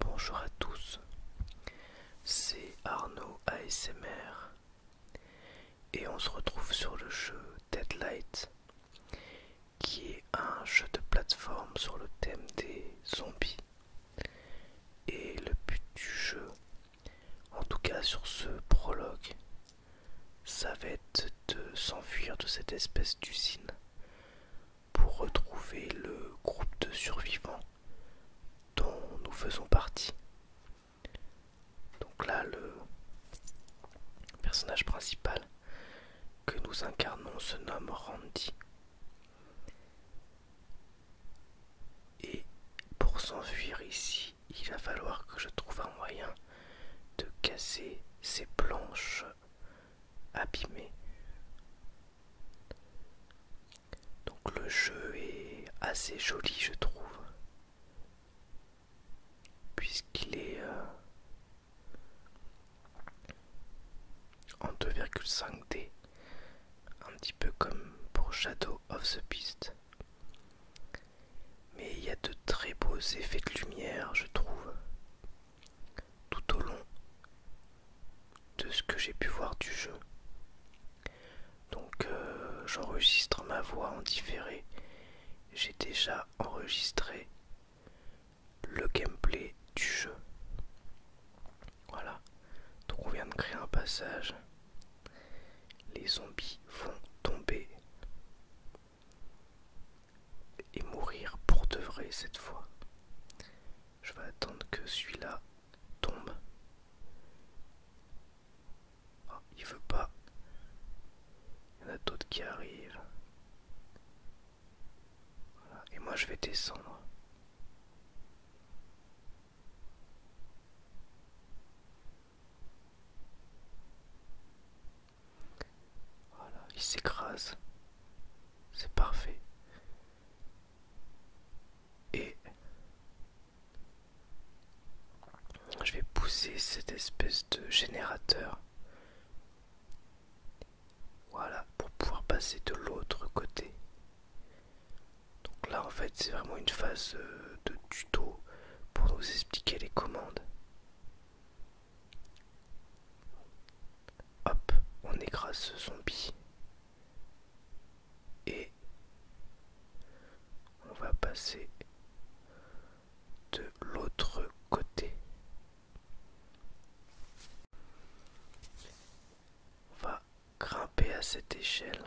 Bonjour à tous, c'est Arnaud ASMR et on se retrouve sur le jeu Deadlight qui est un jeu de plateforme sur le thème des zombies. Et le but du jeu, en tout cas sur ce prologue, ça va être de s'enfuir de cette espèce d'usine pour retrouver le groupe de survivants dont nous faisons partie. Donc là, le personnage principal que nous incarnons se nomme Randy. Et pour s'enfuir ici, il va falloir que je trouve un moyen de casser ces planches abîmées. Donc le jeu est assez joli je trouve. Puisqu'il est... Euh, en 2,5D, un petit peu comme pour Shadow of the Beast. Mais il y a de très beaux effets de lumière, je trouve, tout au long de ce que j'ai pu voir du jeu. Donc euh, j'enregistre ma voix en différé. J'ai déjà enregistré le gameplay du jeu. Voilà. Donc on vient de créer un passage. Les zombies vont tomber et mourir pour de vrai cette fois. Je vais attendre que celui-là tombe. Oh, il veut pas. Il y en a d'autres qui arrivent. Voilà. Et moi je vais descendre. Voilà, il s'écrase. C'est parfait. Et je vais pousser cette espèce de générateur voilà, pour pouvoir passer de l'autre côté. Donc là, en fait, c'est vraiment une phase euh, de tuto pour nous expliquer les commandes. Hop, on écrase ce zombie. Et on va passer de l'autre côté on va grimper à cette échelle.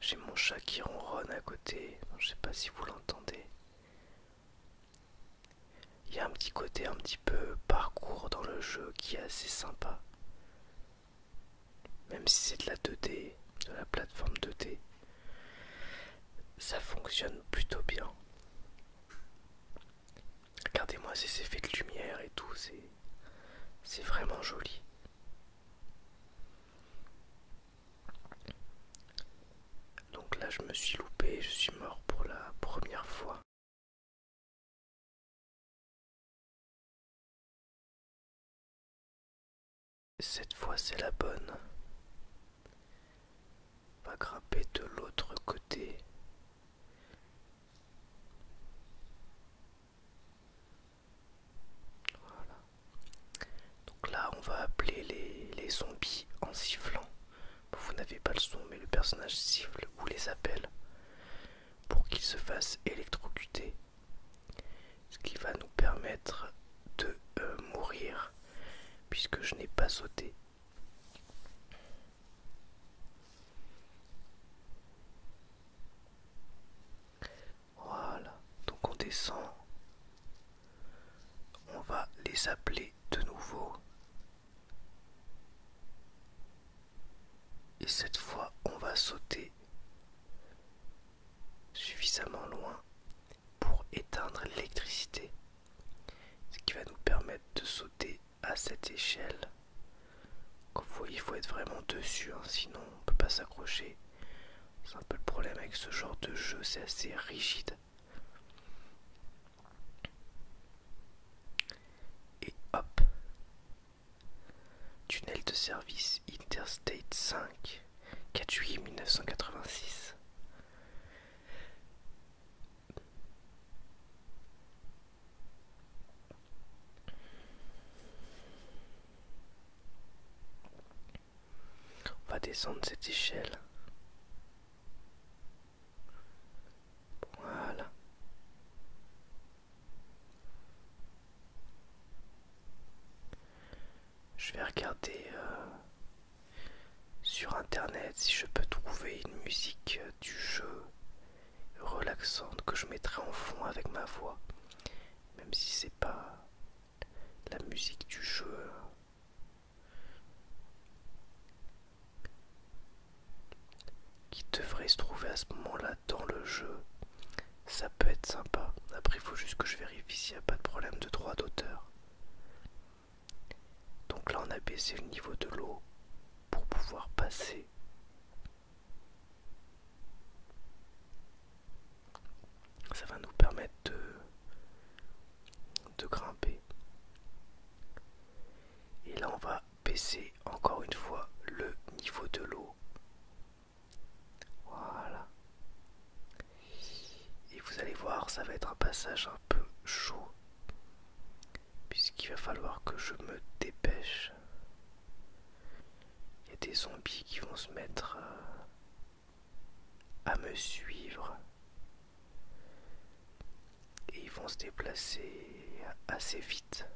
J'ai mon chat qui ronronne à côté, je sais pas si vous l'entendez. Il y a un petit côté un petit peu parcours dans le jeu qui est assez sympa. Même si c'est de la 2D, de la plateforme 2D, ça fonctionne plutôt bien. Regardez-moi ces effets de lumière et tout, c'est vraiment joli. Donc là, je me suis loupé, je suis mort pour la première fois. Cette fois, c'est la bonne va grimper de l'autre côté. Donc là, on va appeler les, zombies en sifflant. Vous n'avez pas le son, mais le personnage siffle ou les appelle pour qu'ils se fassent électrocuter. Ce qui va nous permettre de euh, mourir puisque je n'ai pas sauté. Voilà, donc on descend. On va les appeler de nouveau. Et cette fois, on va sauter suffisamment loin pour éteindre l'électricité, ce qui va nous permettre de sauter à cette échelle. Comme vous voyez, il faut être vraiment dessus, hein, sinon on peut pas s'accrocher. C'est un peu le problème avec ce genre de jeu, c'est assez rigide. Et hop, tunnel de service Interstate 5. 4 juillet 1986. On va descendre cette échelle. Voilà. Je vais regarder euh, sur internet si je peux trouver une musique euh, du jeu relaxante que je mettrai en fond avec ma voix, même si c'est pas la musique du jeu. Euh, qui devrait se trouver à ce moment-là dans le jeu, ça peut être sympa. Après, il faut juste que je vérifie s'il n'y a pas de problème de droit d'auteur. Donc là, on a baissé le niveau de l'eau pour pouvoir passer. Ça va nous permettre de, de grimper. Et là, on va baisser encore une fois le niveau de l'eau voilà. Et vous allez voir, ça va être un passage un peu chaud. Puisqu'il va falloir que je me dépêche. Il y a des zombies qui vont se mettre euh, à me suivre. Et ils vont se déplacer assez vite.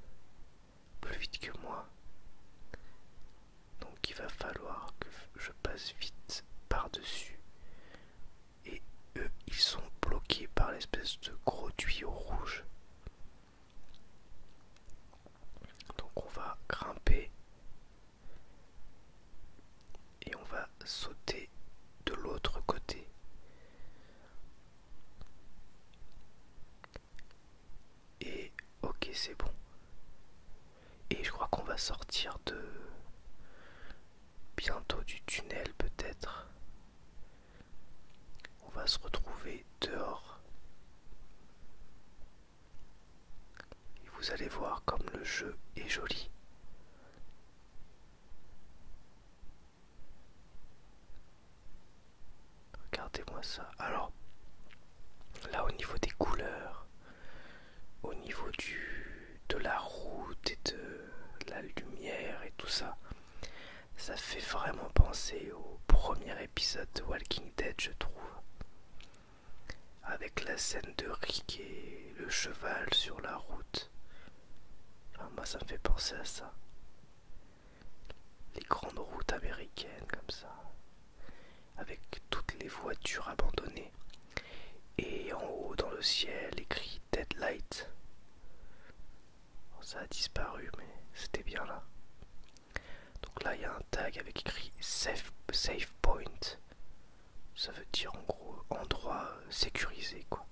Plus vite que moi. Donc il va falloir que je passe vite par-dessus. Et eux, ils sont bloqués par l'espèce de gros tuyau rouge. Donc on va grimper. Et on va sauter de l'autre côté. Et ok, c'est bon. Et je crois qu'on va sortir de bientôt du tunnel peut-être. On va se retrouver dehors. Et vous allez voir comme le jeu est joli. Regardez-moi ça. Alors, là au niveau des couleurs, au niveau du, de la route et de, la lumière et tout ça, ça fait vraiment penser au premier épisode de Walking Dead, je trouve. Avec la scène de Rick et le cheval sur la route. moi, ça me fait penser à ça les grandes routes américaines comme ça, avec toutes les voitures abandonnées, et en haut dans le ciel écrit Deadlight. Ça a disparu, mais c'était bien là. Donc là, il y a un tag avec écrit safe, Point. Ça veut dire en gros endroit euh, sécurisé, quoi.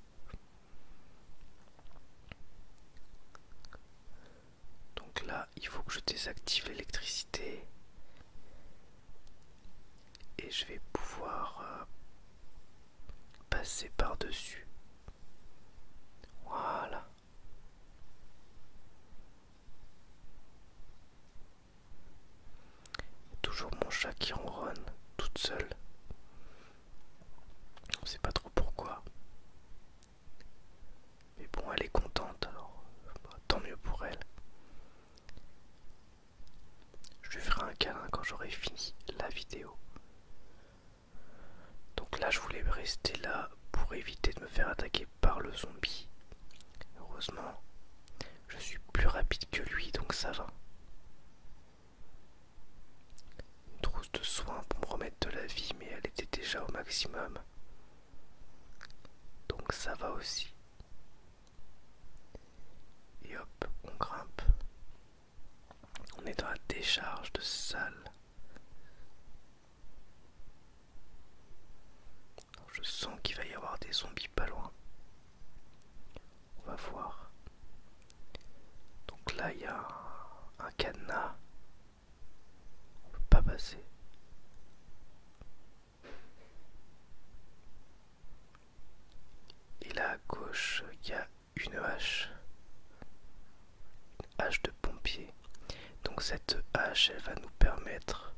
Donc là, il faut que je désactive l'électricité. Et je vais pouvoir euh, passer par-dessus. Voilà. Toujours mon chat qui ronronne toute seule. On sait pas trop pourquoi. Mais bon, elle est contente, alors bah, tant mieux pour elle. Je lui ferai un câlin quand j'aurai fini la vidéo. Donc là, je voulais rester là pour éviter de me faire attaquer par le zombie. Heureusement, je suis plus rapide que lui, donc ça va une trousse de soins pour me remettre de la vie, mais elle était déjà au maximum. Donc ça va aussi. Et hop, on grimpe. On est dans la décharge de salle. Je sens qu'il va y avoir des zombies pas loin. On va voir. Donc là, il y a un, un cadenas on peut pas passer. Et là à gauche, il y a une hache. Une hache de pompier. Donc cette hache, elle va nous permettre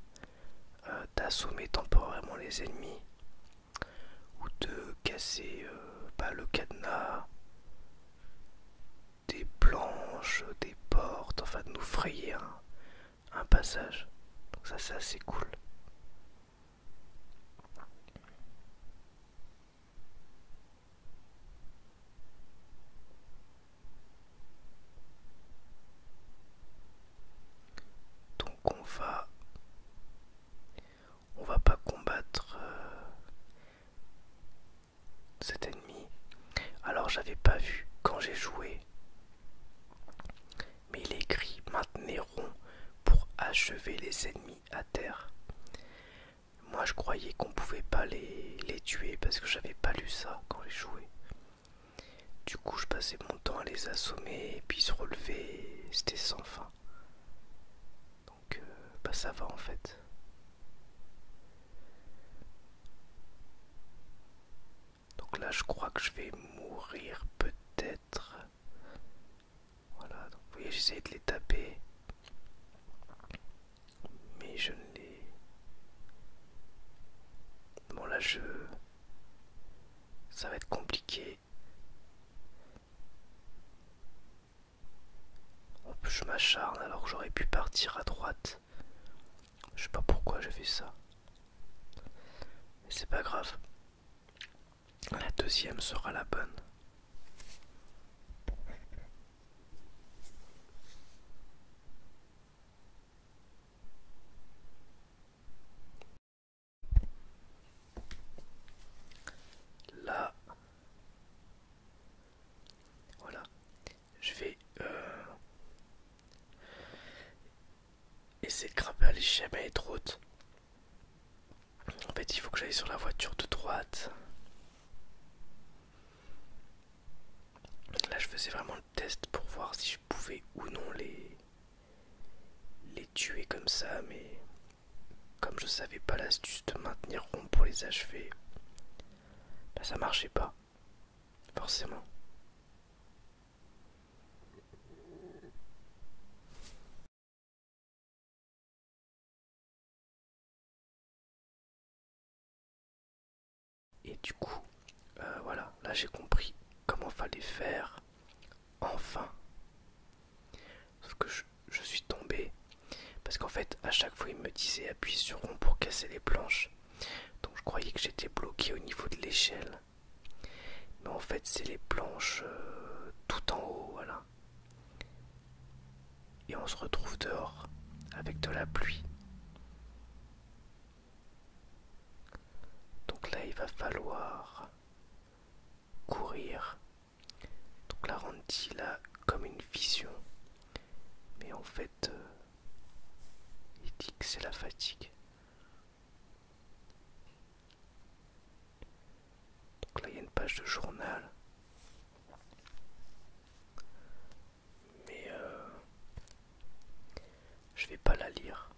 euh, d'assommer temporairement les ennemis ou de casser euh, bah, le cadenas des planches, des portes, enfin de nous frayer un, passage. Donc ça c'est assez cool. Donc on va on va pas combattre euh, cet ennemi. Alors j'avais pas vu quand j'ai joué. Mais les cris maintenir rond pour achever les ennemis à terre. Moi je croyais qu'on pouvait pas les, les tuer parce que j'avais pas lu ça quand j'ai joué. Du coup je passais mon temps à les assommer et puis se relever. C'était sans fin. Donc euh, bah, ça va en fait. Donc là je crois que je vais mourir peut-être. Voilà, donc vous voyez j'essayais de les taper. Mais je ne les... Bon là je... Ça va être compliqué je m'acharne alors que j'aurais pu partir à droite. Je sais pas pourquoi j'ai fait ça. Mais c'est pas grave. La deuxième sera la bonne. Là. Voilà. Je vais euh, essayer de grimper à l'échelle mais être En fait, il faut que j'aille sur la voiture de droite. Là, je faisais vraiment le test pour voir si je pouvais ou non les tu tuer comme ça, mais comme je savais pas l'astuce de maintenir rond pour les achever, bah, ça marchait pas, forcément. Et du coup, euh, voilà, là j'ai compris comment fallait faire. Enfin, Sauf que je, suis tombé. Parce qu'en fait, à chaque fois, il me disait appuyez sur rond pour casser les planches. Donc je croyais que j'étais bloqué au niveau de l'échelle. Mais en fait, c'est les planches euh, tout en haut, voilà. Et on se retrouve dehors, avec de la pluie. Donc là, il va falloir courir. Donc là Randy il comme une vision. Mais en fait, euh, il dit que c'est la fatigue. Donc là, il y a une page de journal. Mais euh, je vais pas la lire.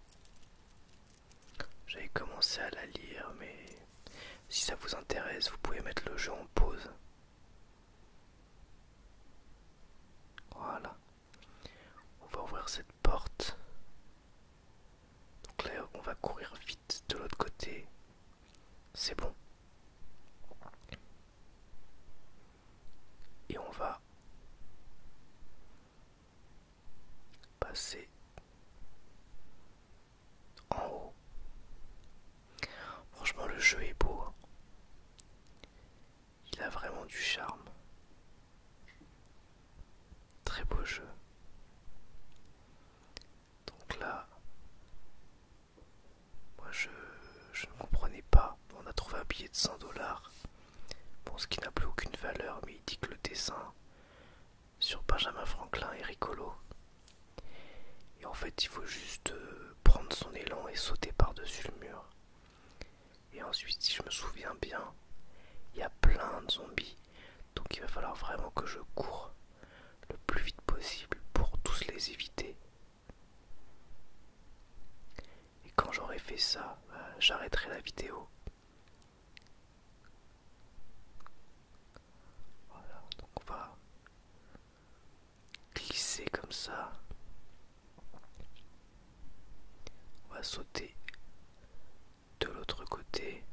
J'avais commencé à la lire, mais si ça vous intéresse, vous pouvez mettre le jeu en pause. Voilà. On va ouvrir cette porte. Donc là, on va courir vite de l'autre côté. C'est bon. Et on va passer en haut. Franchement, le jeu est beau. Hein. Il a vraiment du charme. Très beau jeu. Donc là, moi je, ne comprenais pas. On a trouvé un billet de 100 dollars. pour ce qui n'a plus aucune valeur, mais il dit que le dessin sur Benjamin Franklin et Ricolo. Et en fait, il faut juste euh, prendre son élan et sauter par-dessus le mur. Et ensuite, si je me souviens bien, il y a plein de zombies. Donc il va falloir vraiment que je cours le plus vite possible pour tous les éviter. Et quand j'aurai fait ça, bah, j'arrêterai la vidéo. Voilà, donc on va glisser comme ça. On va sauter de l'autre côté.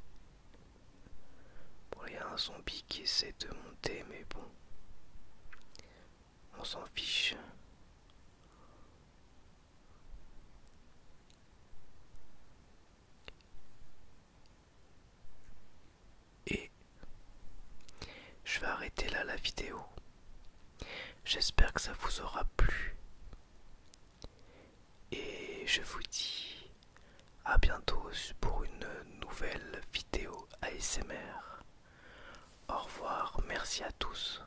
Bon, il y a un zombie qui essaie de monter, mais bon, on s'en fiche. Et je vais arrêter là la vidéo. J'espère que ça vous aura plu. Et je vous dis à bientôt pour une nouvelle vidéo ASMR. Au revoir, merci à tous.